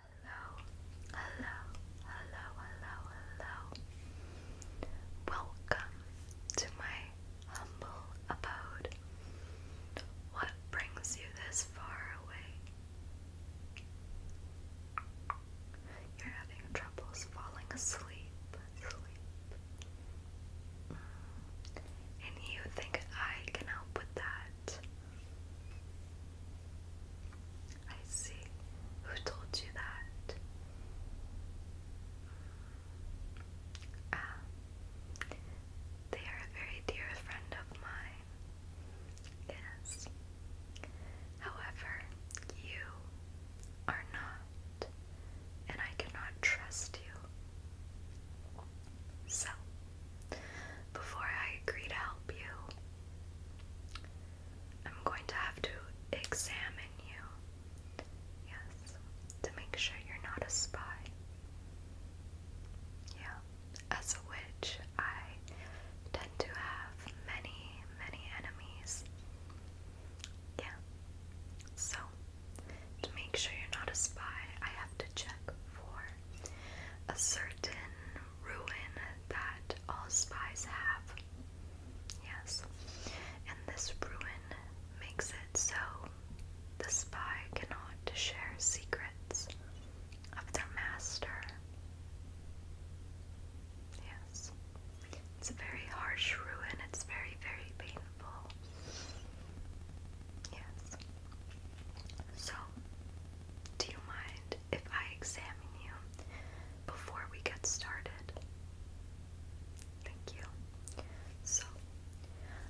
Hello, hello, hello, hello, hello. Welcome to my humble abode. What brings you this far away? You're having troubles falling asleep, mm. And you think I can help with that? I see. Who told you that? Ah, they are a very dear friend of mine. Yes. However, you are not, and I cannot trust you. So, before I agree to help you, I'm going to have to examine you. Yes, to make sure you're not a spy. Yeah, as a witch, I tend to have many, many enemies. Yeah, so to make sure you're not a spy, I have to check for a certain ruin that all spies have. Yes. And this ruin makes it so the spy cannot share secrets of their master. Yes. It's a very harsh ruin. It's very, very painful. Yes. So, do you mind if I examine you before we get started? Thank you. So,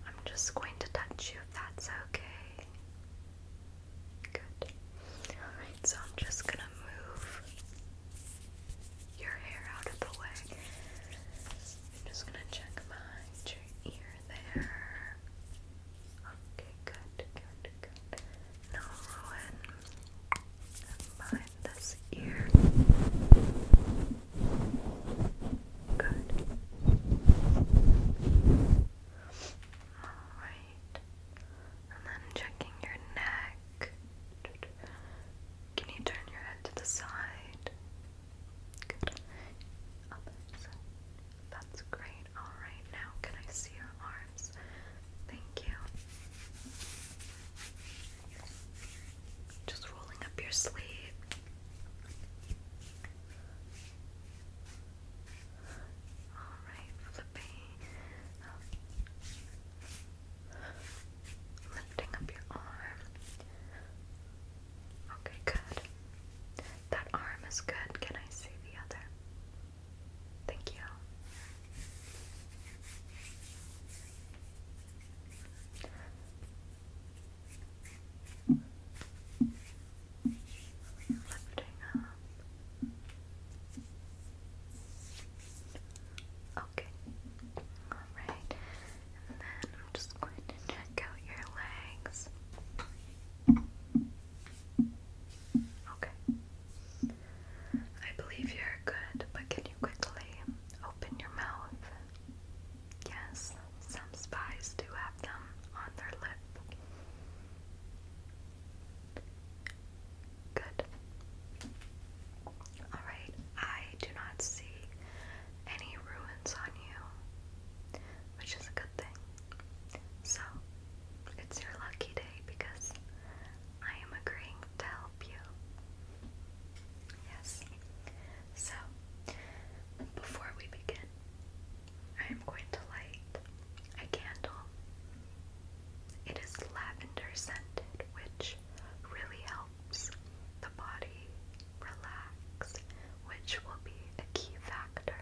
I'm just going to touch you if that's okay. Good. Alright, so I'm just gonna move your hair out of the way. I'm just gonna check behind your ear there. Okay, good, good, good. No ruin. Behind this ear. Good. Alright. And then checking your neck. Can you turn your head to the side? That's great. Alright, now can I see your arms? Thank you. Just rolling up your sleeve. Alright, flipping. Lifting up your arm. Okay, good. That arm is good. Can I see the other? Thank you. Lifting up. Okay. All right then I'm just going to check out your legs. Okay. I believe you're good, but can you quickly open your mouth? Yes, some spies do have them on their lip. Good. Alright, I do not see any ruins on you, which is a good thing. So, it's your lucky day because I am agreeing to help you. Yes. So, before we begin, I am going to light a candle. It is lavender scented, which really helps body relax, which will be a key factor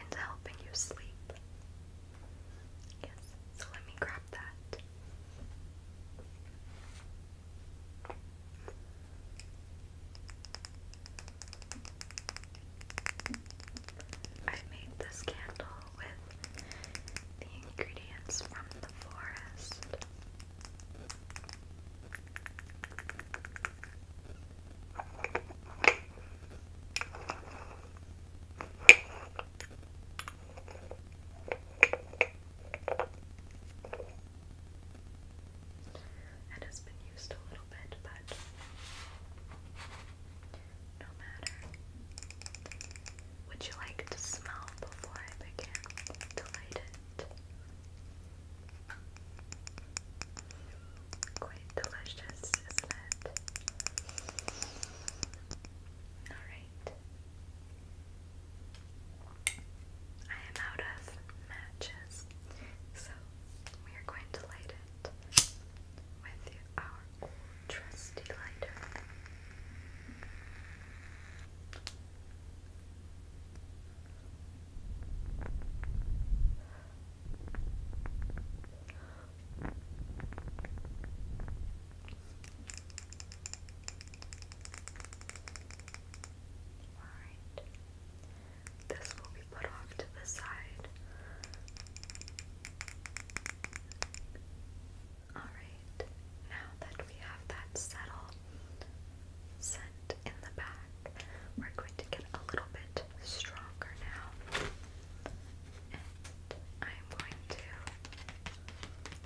into helping you sleep. Yes, so let me grab that. I made this candle with the ingredients from the forest. It has been used a little bit, but no matter. Would you like to smell before I begin to light it? Quite delicious, isn't it? Alright. I am out of matches, so we are going to light it with our old trusty lighter. Alright. This will be put off to the side. Alright, now that we have that settle scent in the back, we're going to get a little bit stronger now. I'm going to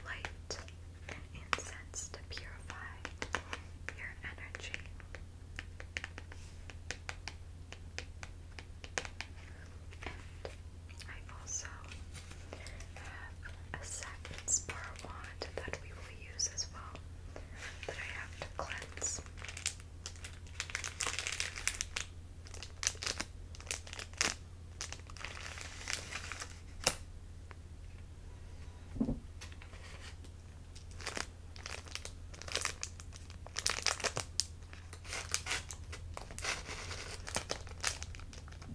light incense to purify your energy. And I also have uh, a second spar wand that we will use as well that I have to cleanse.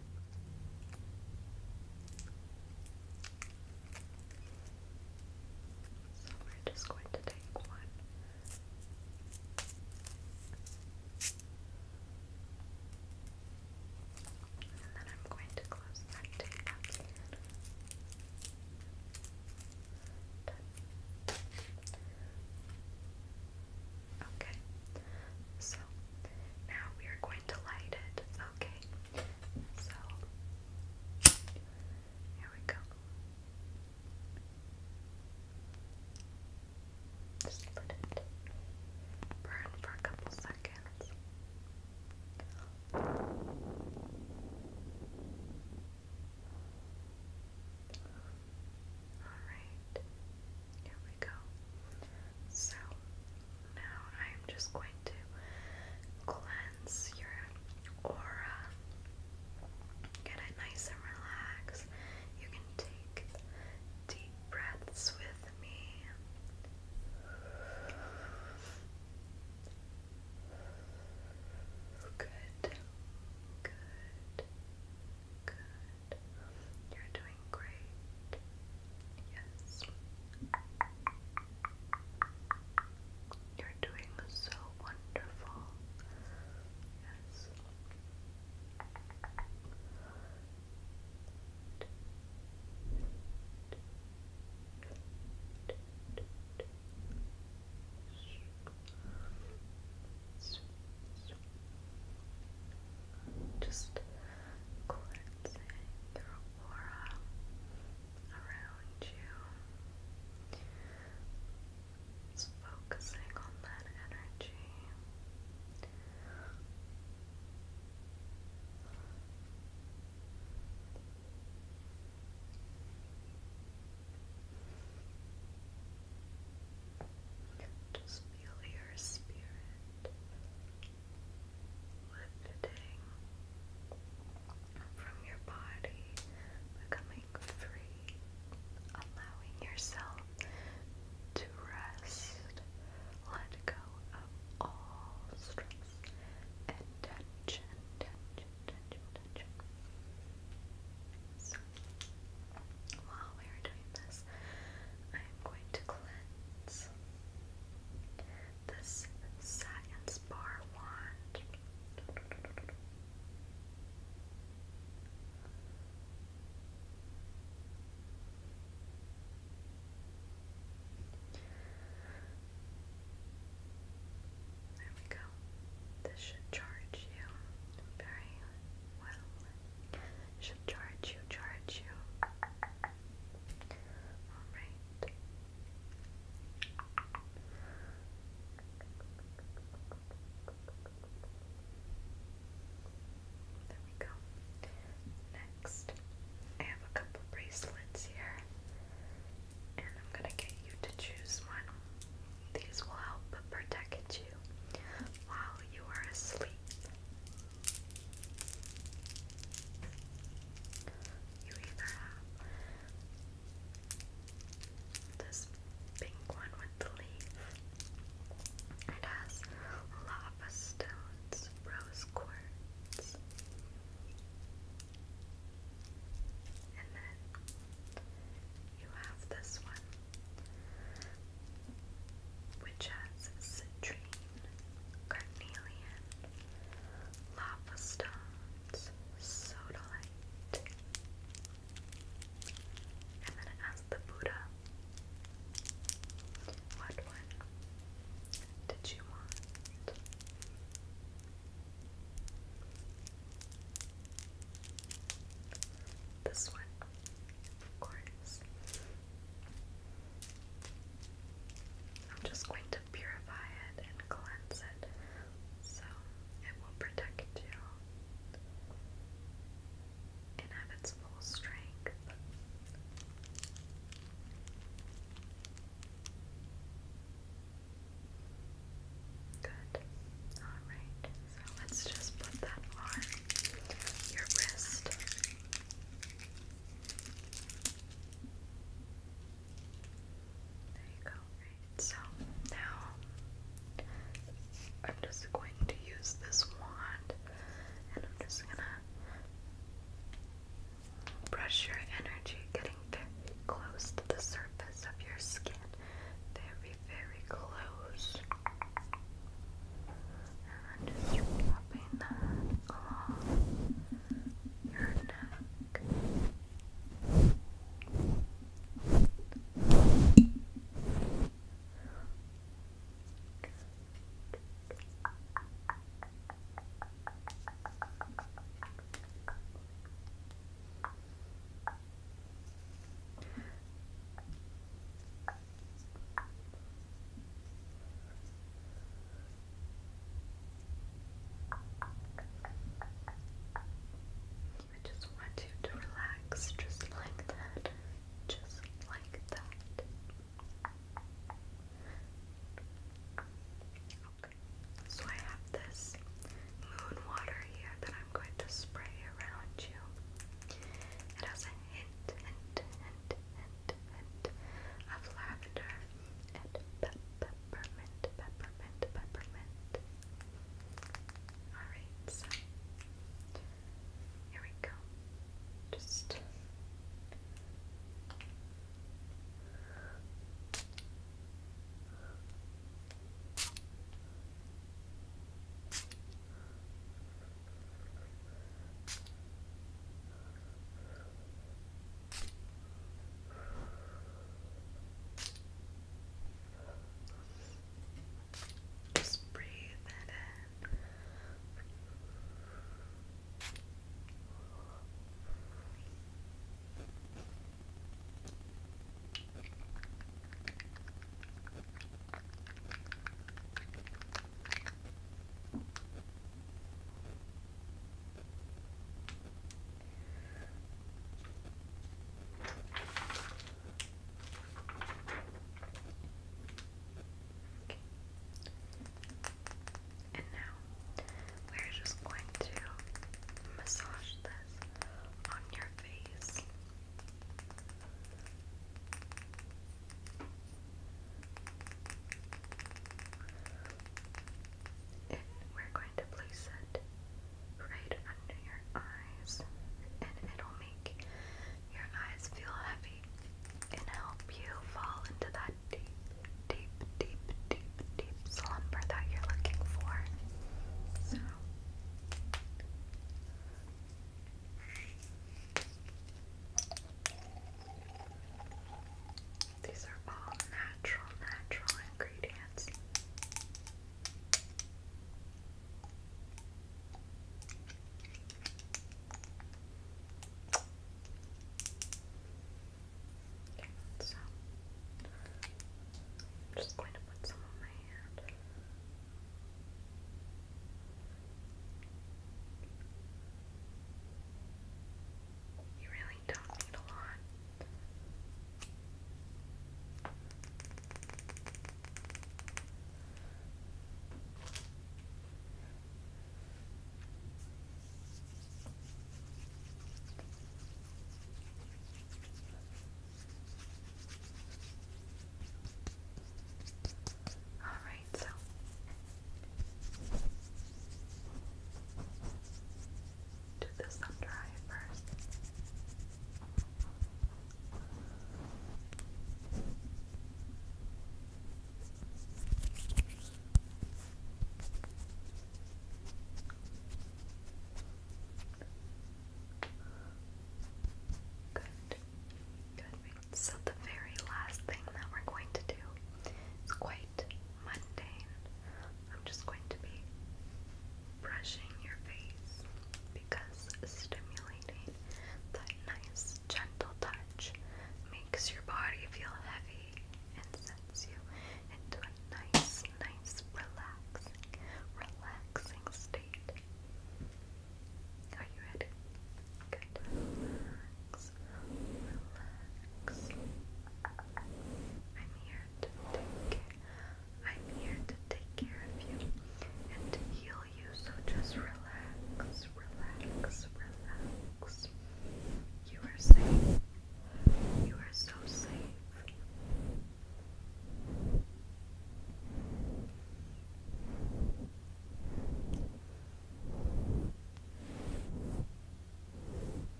So we're just going to take one. And then I'm going to close that tape up Okay, so now we are going to light it. Okay. So here we go. Just let it burn for a couple seconds. Alright, here so now I'm just going to cleanse your aura. Get it nice and relaxed. You can take deep breaths with me. Good. Good. Good. You're doing great. Yes. You're doing so wonderful. Yes. Just cleansing your aura around you. Just focusing on that energy. Just Feel your spirit lifting from your body, becoming free, allowing yourself to rest, let go of all stress tension, tension, tension, tension. while we are doing this, I am going to cleanse this satin bar wand. There we go. This should charge you very well. Should charge you, charge you. Alright. There we go. Next, I have a couple bracelets here, and I'm gonna get you to choose one. These will help protect you while you are asleep. You either have this pink one with the leaf. It has lava stones, rose quartz, and then you have this one which has citrine, carnelian, lava stones, sodalite, and then it the Buddha. What one did you want? This one, of course. I'm just going to purify it and cleanse it so it will protect you and strength. Good. All right. So let's just put that on your wrist. There you go. So now I'm just going to use this wand and I'm just gonna brush your energy getting very close to the surface of your skin. Very very close. And just rubbing that along your I just want you to relax just like that, just like that. Okay, so I have this moon water here that I I'm going to spray around you. It has a hint, hint, hint, hint, hint of lavender and peppermint, peppermint, peppermint. Alright, so here we go. Just. Just breathe in. And now we're just going to massage this on your your we're going to place it right under your eyes, and it'll make your eyes feel heavy and help you fall into that deep, deep, deep, deep, deep slumber that you're looking for. So. These are all natural, natural ingredients. so I'm just going to put some on my hand. You really don't need a lot. Alright, so do this sun dry first. Good. Good. So the very last thing that we're going to do is quite mundane. I'm just going to be brushing your face because stimulating that nice gentle touch makes your body feel heavy and sets you into nice, nice, relaxing, relaxing state. Are you ready? Relax, relax. I'm here to take care. I'm here to take care of you and to heal you. So just relax, relax, relax. You are safe. You are so safe.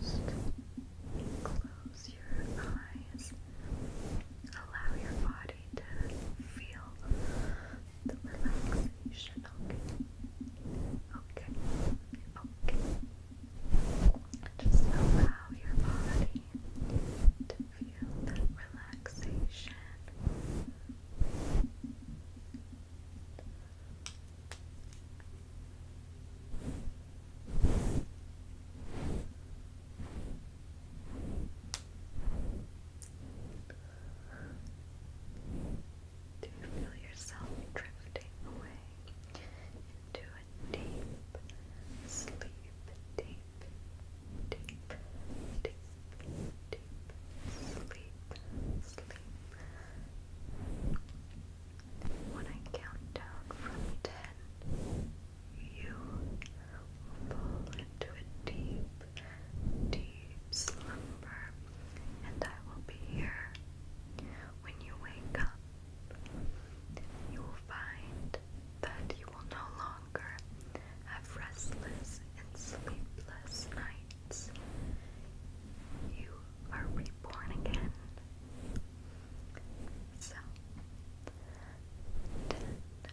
Just close your eyes. Allow your body to feel the relaxation. Okay. Okay. Okay. Just allow your body to feel that relaxation. Do you feel yourself drifting away into a deep sleep? Deep, deep, deep, deep sleep, sleep. When I count down from ten, you will fall into a deep deep slumber, and I will be here. When you wake up, you will find that you will no longer have restless and sleepless nights. You are reborn again. So,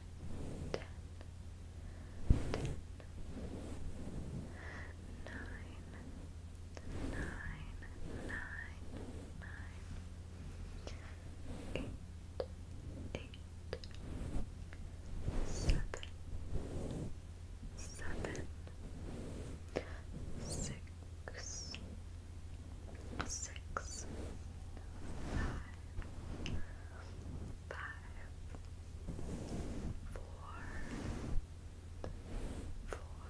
ten, ten, nine, nine, nine, nine, eight, eight, seven, seven, six, six, five, five four, four, three, two, two, two, two, two, two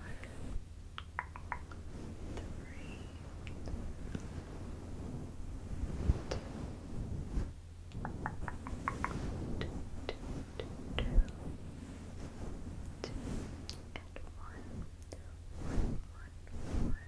and one, one, one, one.